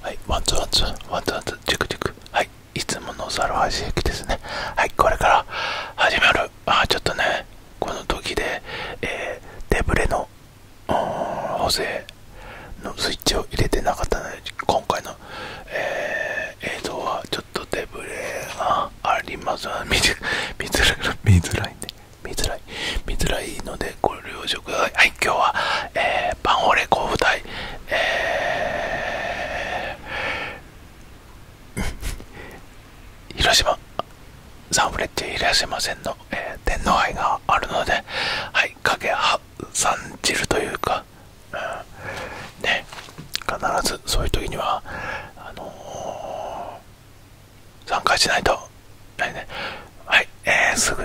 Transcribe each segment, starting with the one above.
はい、ワンツワンツワンツワンツチクチクはい、いつもの猿橋駅ですねはい、これから始まるあちょっとね、この時で、えー、手ぶれの補正のスイッチを入れてなかったので今回の、えー、映像はちょっとデブレがあります見づらい見づらいね見づらい見づらいのでご了承くださいはい今日は、えー、パンオレ交舞台。えー、広島サンフレッチェ広島線の、えー、天皇杯があるのではいかけはさんじるというか、ね必ずそういう時にはあの参加しないとはいねはいえー、すぐ、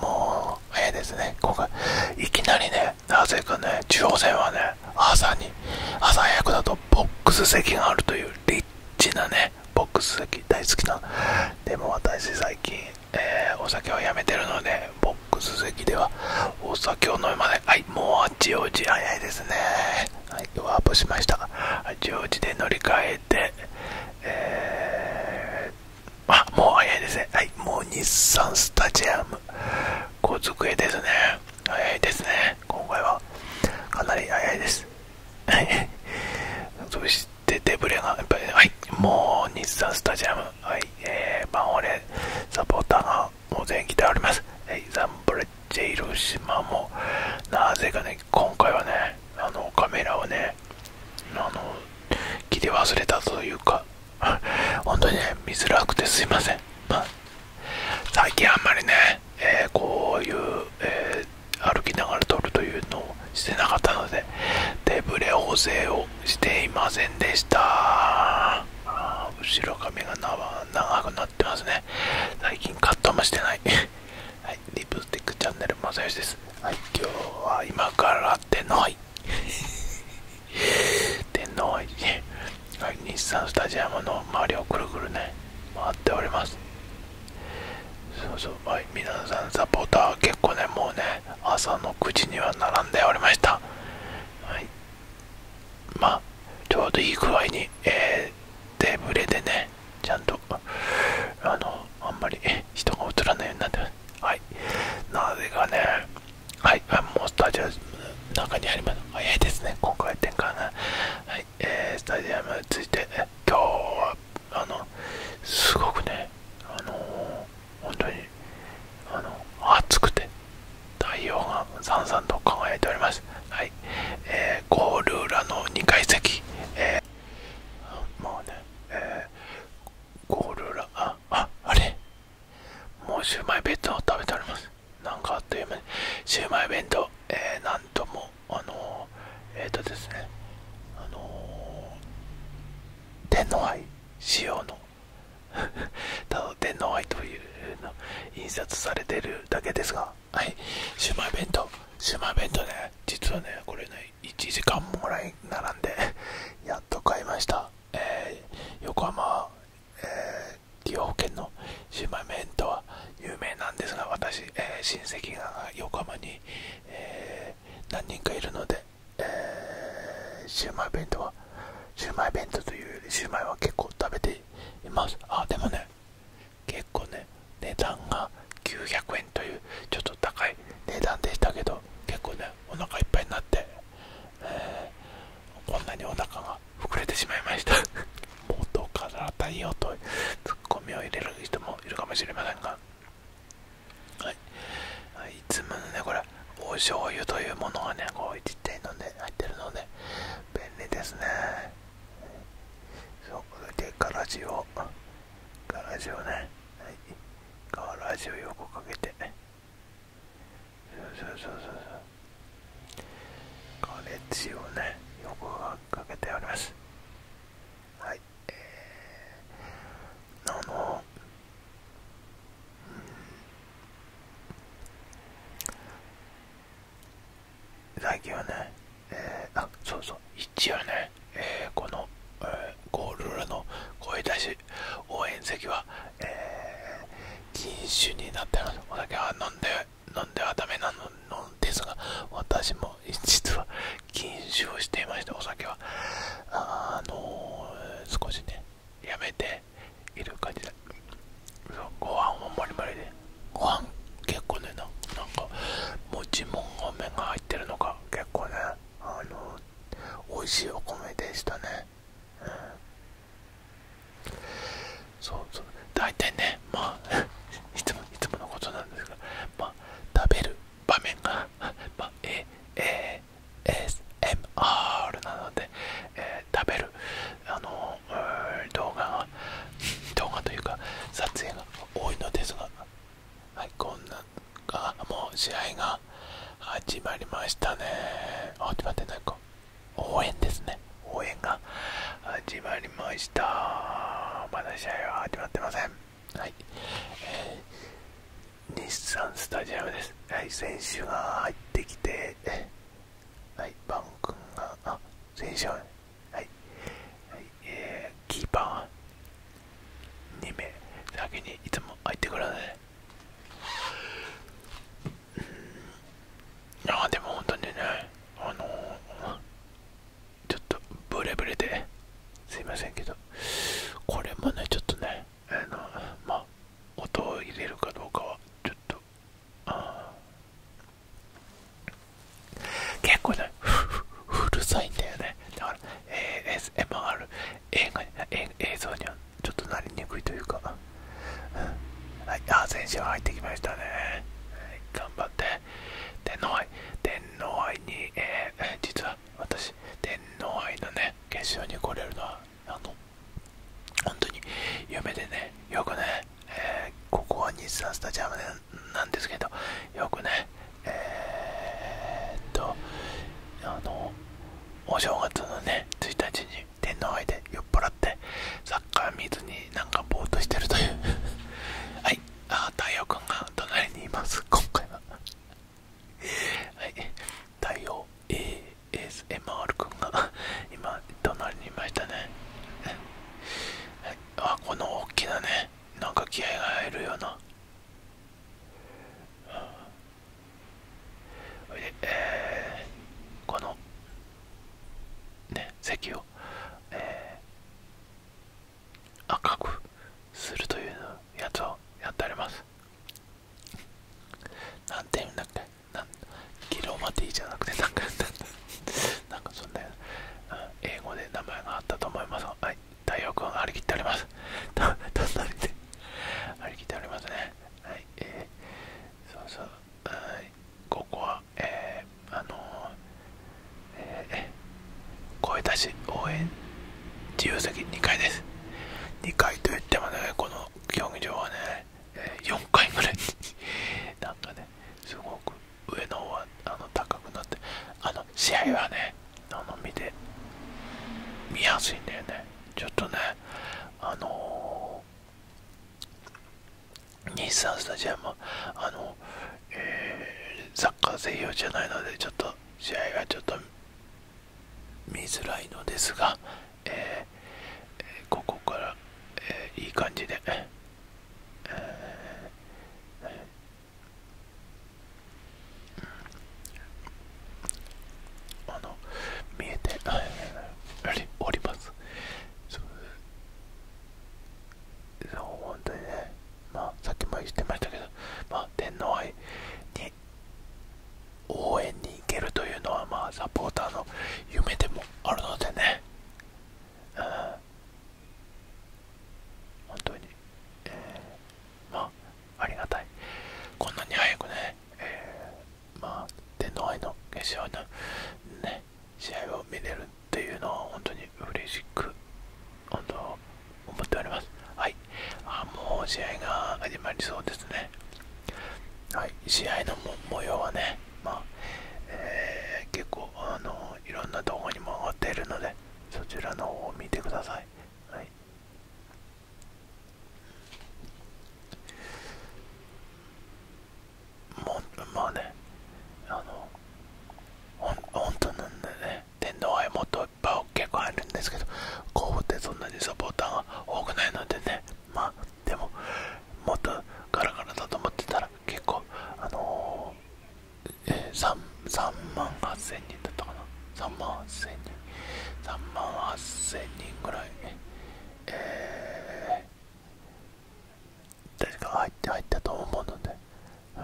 もう早いですね今回いきなりねなぜかね中央線はね朝に朝早くだとボックス席があるというリッチなねボックス席大好きなでも私最近、えー、お酒をやめてるのでボックス席ではお酒を飲むまではいもうあっち、おうち早いですねはいワープしました八王子で乗り換えてえーあもう早いですねはいもう日産スタジアム小机ですね早いですね今回はかなり早いですはい そしてデブレがやっぱり、ね、はいもう日産スタジアムはいえー、バンオレサポーターがもう全員来ておりますはいザンブレッジ広島もなぜかね今回はねあのカメラをねあの切り忘れたというか 本当にね見づらくてすいません、最近あんまりね、えこういう、歩きながら撮るというのをしてなかったので手ぶれ補正をしていませんでした後ろ髪が長くなってますね最近カットもしてない はいリップスティックチャンネルまさよしです。はい、今日は今から天皇杯。天皇杯日産スタジアムの周りをくるくるね、回っております。そうそう、はい、皆さんサポーター結構ね、もうね、朝の9時には並んでおりました。はい。まあ、ちょうどいい具合に、えー、手ぶれでね、ちゃんと、あの、あんまり 人が映らないようになってます。はい。なぜかね、はい、もうスタジアムの中にあります。早いですね、今回展開が。はい、えー、スタジアムについて、今日は、あの、すごくね、あの本当に、あの、暑くて、太陽がさんさんと輝いております。はい、えー、ゴール裏の2階席、もうね、えゴールラ、あ、あ、あれもうシューマイ弁当食べております。なんかあっという間に、シューマイ弁当、えー、なんとも、あのえっ、とですね、あの天皇杯仕様の、天皇杯というの印刷されてるだけですが、はい、シューマイ弁当、シューマイ弁当ね、実はね、これね、1時間もらい並んでやっと買いました、横浜、えー、利用保険のシウマイ弁当は有名なんですが私、え親戚が横浜に、え何人かいるので、えー、シウマイ弁当はシウマイ弁当というよりシウマイは結構食べていますあでもね結構ね値段が900円というちょっと高い値段でしたけど結構ねお腹いっぱいになって、こんなにお腹が膨れてしまいました 元から太陽とツッコミを入れる人もいるかもしれませんがはいいつものねこれお醤油というものがねこうちっちゃいので入ってるので便利ですねそうでガラしをガラジオね、はい、ガラジオ横かけてそうそうそうそうガレッジをね横かけてありますはいえー、あのうん最近はね、えー、あそうそう一応ね、えこの、ゴールラの声出し応援席は、え禁酒になってますお酒は飲んで飲んではだめなのですが私も実は禁酒をしていましてお酒はあの少しねやめている感じでご飯をもりもりでご結構ねななんかもちもん目が入ってるのが結構ねあの美味しいお米でしたね、そうそう大体ねまあ いつもいつものことなんですがまあ食べる場面がまあ A A S M R なので、えー、食べるあの動画が動画というか撮影が多いのですが、はい、こんなあもう試合が始まりましたね始まってないか応援ですね応援が始まりましたまだ試合は始まってませんはい、え日産スタジアムですはい選手が入ってきてはいバン君があ選手ははいはいえー、キーパー2名先にいつも入ってくださいああでも本当にねあのちょっとブレブレですいませんけどこれもねちょっとねあのまあ音を入れるかどうかはちょっとああ結構ねふ うるさいんだよねだから ASMR 映画映像にはちょっとなりにくいというか、うん、はいあ先週は入ってきましたね、頑張って天皇杯天皇杯に、え実は私天皇杯のね決勝に来れるのはあの本当に夢でねよくね、ここは日産スタジアムだねなんですけどよくねえっとあのお正月のね1日に天皇杯で酔っ払ってサッカー見ずになんかぼーっとしてるという はいあ太陽君が隣にいます今回は はい太陽 ASMR 君が今隣にいましたねはいあこの大きなねなんか気合が入るような、うん、で、えー、このね席を、えー、赤くするというやつをやってありますなんていうんだっけなんギロマティじゃなくてなんかんだ なんかそんな、英語で名前があったと思いますはい、太陽君張り切っております。たたりで張り切っておりますね。はい、えそうそう、はい、ここは、えあのー、え声出し応援自由席2階です。2階といってもね、この競技場はね、えー、4回ぐらい なんかね、すごく上の方はあの高くなってあの試合はねあの見見やすいんだよねちょっとねあのー、日産スタジアムあの、えサッカー専用じゃないのでちょっと試合はちょっと見づらいのですが、えー、ここから、えいい感じであの見えておりますそう本当にねまあさっきも言ってましたけどまあ天皇杯に応援に行けるというのはまあサポーターの夢でもあるのでね本当に、ありがたいこんなに早くね、まあ天皇杯の決勝のね試合を見れるっていうのは本当に嬉しく本当思っておりますはいあもう試合が始まりそうですねはい、試合の模様はね、まあえー、結構あのいろんな動画にも上がっているのでそちらの方を見てください、はい、もまあねあの本当なんでね天皇はもっといっぱい結構あるんですけど神戸ってそんなにサポーターが多くないのでねまあでももっとガラガラだと思ってたら結構あのえー、3, 万8000人だったかな3万8 0人3万8 0人ぐらいえー、確か入って入ったと思うので、うん、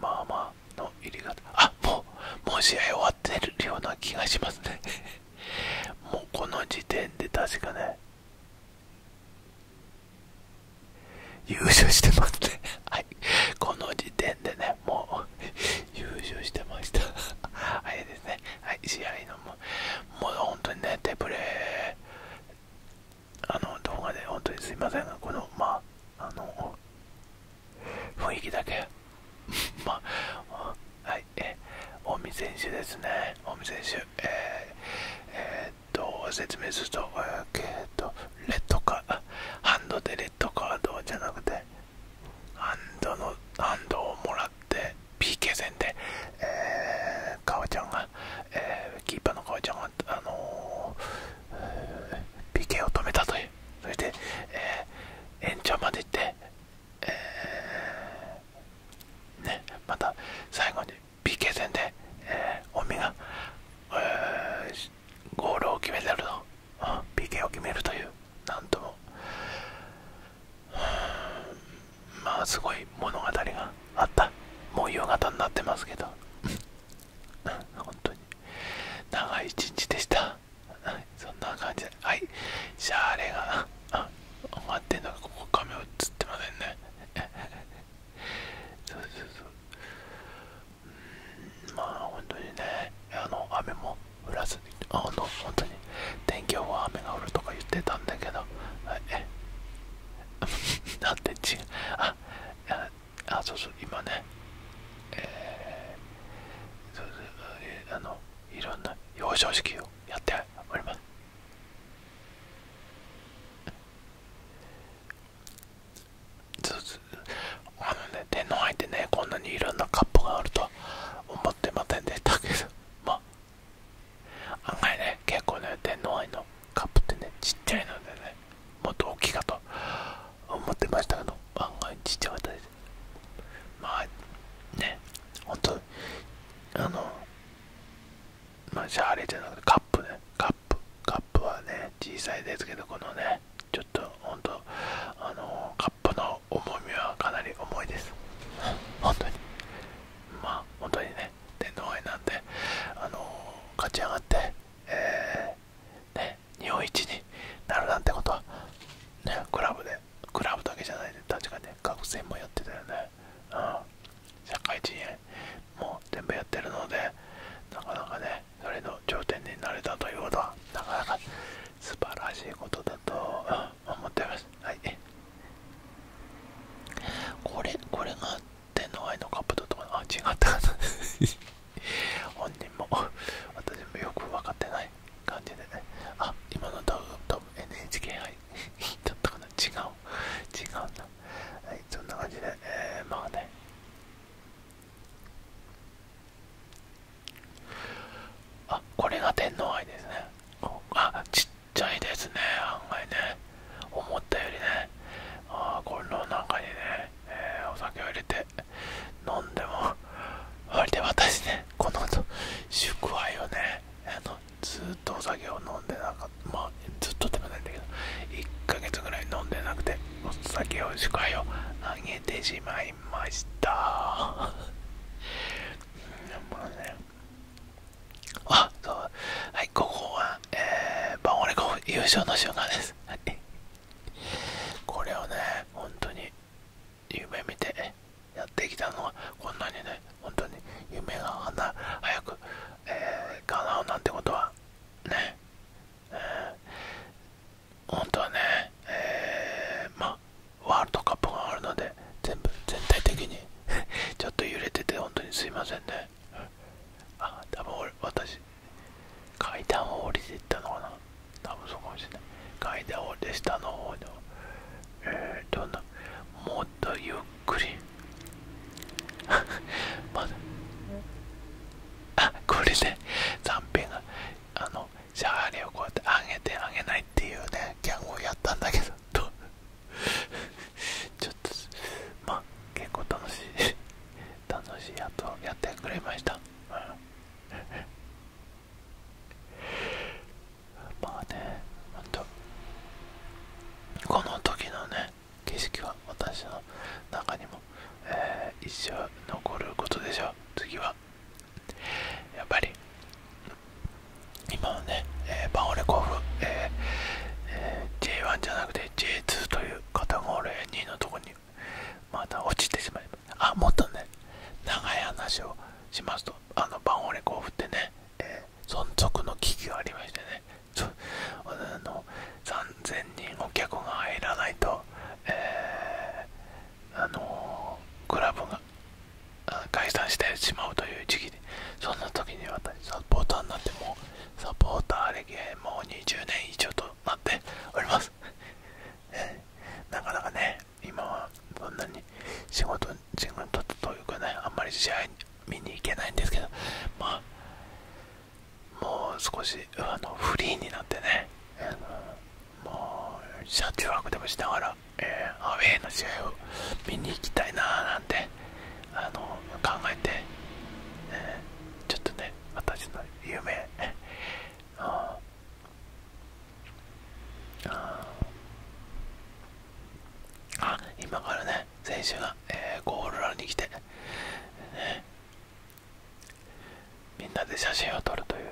まあまあの入り方あもうもう試合終わってるような気がしますねもうこの時点で確かね優勝してますね はいこの時点でねもう優勝してましたあれ ですねはい試合のももう本当にね手プレーあの動画で本当にすいませんがこのまああの雰囲気だけ まあ、はい、は近江選手ですね近江選手えー、えっと説明するとえっとレッドカーハンドでレッドカードじゃなくてハンドのハンドをもらって PK 戦で、えー、かおちゃんが、えー、キーパーのかおちゃんが、あのーえー、PK を止めたというそして、えー、延長まで行って、えまた最後に PK 戦で、えー、近江が、ゴールを決めてると、う PK を決めるというなんとも、まあすごい物語があったもう夕方になってますけど本当に長い一日でしたはそんな感じはいしゃーレがあ終わってんのがここ画面映ってませんね そうそうそううんまあ本当にねあの雨も降らずにあの本当に天気予報は雨が降るとか言ってたんだけどはいえだって違うあああそうそう今ねえー、そうそうあのいろんな表彰式をやっておりますあのね天皇杯ってねこんなにいろんなカップがあると思ってませんでたけどまあ案外ね結構ね天皇杯のカップってねちっちゃいのでねもっと大きいかと思ってましたけど案外ちっちゃかったですまあね本当あのまあシャーレじゃなくてカップねカップカップはね小さいですけどこのねちょっと本当あのカップの重みはかなり重いです本当にま本当にね天皇杯なんで、あの勝ち上がってえー、ね日本一になるなんてことはねクラブでクラブだけじゃないで、確かね、学生もやってたよね。うん、社会人も全部やってるので、なかなかね、それの頂点になれたということは、なかなか素晴らしいことだと思っています。はい。これ、これが天皇愛のカップだとか、あ、違ったかな。本人も、私もよく分かってない。感じでねあ今の動画 NHK 杯だったかな違う違うなはいそんな感じで、えー、まあねあこれが天皇愛ですねあちっちゃいですね案外ね思ったよりねあこの中にね、えー、お酒を入れて、飲んでもそりで私ねこの宿杯をねあのずっとお酒を飲んでなかったまあずっとでもないんだけど1ヶ月ぐらい飲んでなくてお酒を宿杯をあげてしまいましたあねそうはいここはえー、バンオレコ優勝の瞬間ですこれをね本当に夢見てやってきたのはこんなにね本当に夢が花早く、えー、叶うなんてことはね、本当はね、えまワールドカップがあるので全部全体的に ちょっと揺れてて本当にすいませんねあ多分私階段を降りていったのかな多分そうかもしれない階段をで下の方のえー、どんなもっとゆっくり まだあこれで残品があのシャーリをこうやって上げて上げないっていうねギャンをやったんだけど とちょっとまあ結構楽しい楽しいやつをやってくれました、まあね本当。この時のね景色は私の中にも、えー、一生残ることでしょう次はやっぱり今はね、えー、パンオレ甲府、えーえー、J1 じゃなくて J2 というカタゴレ2のとこにまた落ちてしまいますあもっとね長い話をしますとあのバンオレ甲府ってね、え存続の危機がありましてねちょあの3000人お客が入らないと、えー、あのクラブが解散してしまうという時期でそんな時に私サポーターになってもサポーター歴もう20年以上となっておりますなかなかね、今はそんなに仕事、仕事というかね、あんまり試合見に行けないんですけど、まあ、もう少しあのフリーになってね、あのもう車中泊でもしながら、えアウェーの試合を見に行きたいなーなんてあの考えて、ちょっとね、私の夢、ああ今からね選手が、えー、ゴールラに来て、みんなで写真を撮るという、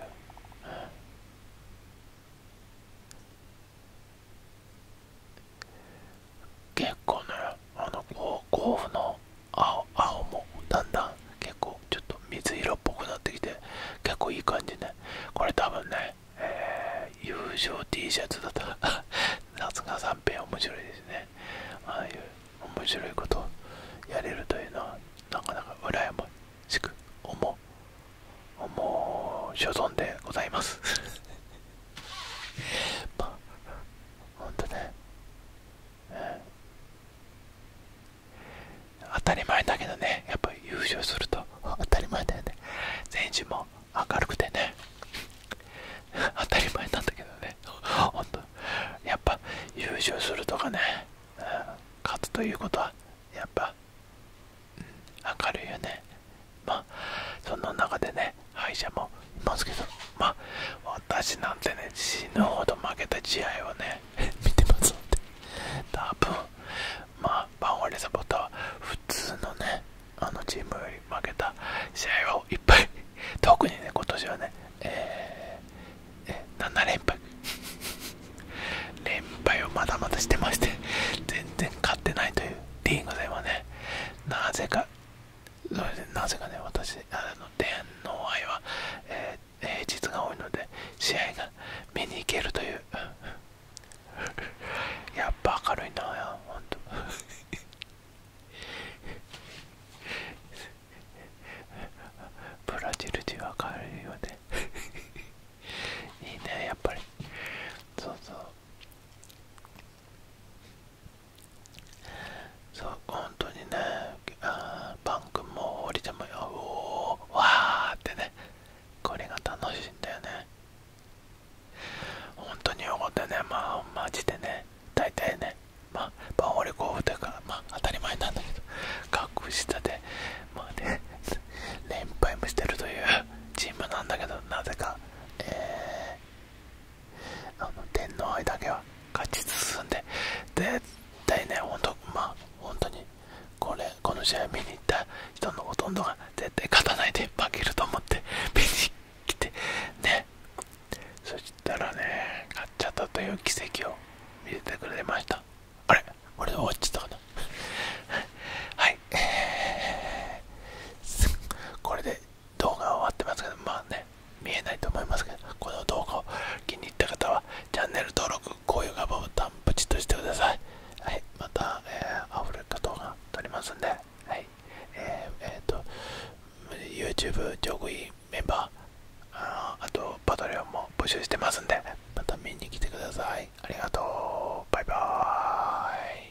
結構ねあの甲府の青青もだんだん結構ちょっと水色っぽくなってきて結構いい感じねこれ多分ね、えー、優勝 T シャツだったら夏が三平面白いですねああいう面白いことをやれるというのはなかなか羨ましく思う思う所存でございます まあほんとね、え当たり前だけどねやっぱ優勝すると当たり前だよね選手も明るくてね当たり前なんだけどねほんとやっぱ優勝するとかね、勝つということはやっぱ、うん、明るいよねまあその中でね敗者もいますけどまあ私なんてね死ぬほど負けた試合をね見てますので多分まあバンワリサポーターは普通のねあのチームより負けた試合をいっぱい特にね今年はね、えーえー、7連敗 連敗をまだまだしてまして全然勝ってないというリーグではねなぜかそれでなぜかね私あの天皇愛は、え平日が多いので試合が見に行けるというやっぱ明るいなやほんブラジル人は明るいよねいいねやっぱりそうそうそう本当にねあパン君も降りてもよおわあってねこれが楽しいんだよね本当にっでねまあマジでね大体ねまあパン折り工具だからまあ当たり前なんだけど格下でまあね連敗もしてるというチームなんだけどなぜかえあの天皇杯だけは勝ち進んで絶対ね本当まあ本当にこれこの試合見に行った人のほとんどが絶対勝たないで負けると思って 見に来てねそしたらね勝っちゃったという奇跡を見せてくれましたあれ俺終わっちゃったかな はい、えー、これで動画は終わってますけどまあね見えないと思いますけど、この動画を気に入った方はチャンネル登録、高評価ボタンプチッとしてください。はい、また、えー、アフレカ動画撮りますんで、はい、えっ、と、YouTube 上位メンバー、あと、パトリオンも募集してますんで、また見に来てください。ありがとう。バイバーイ。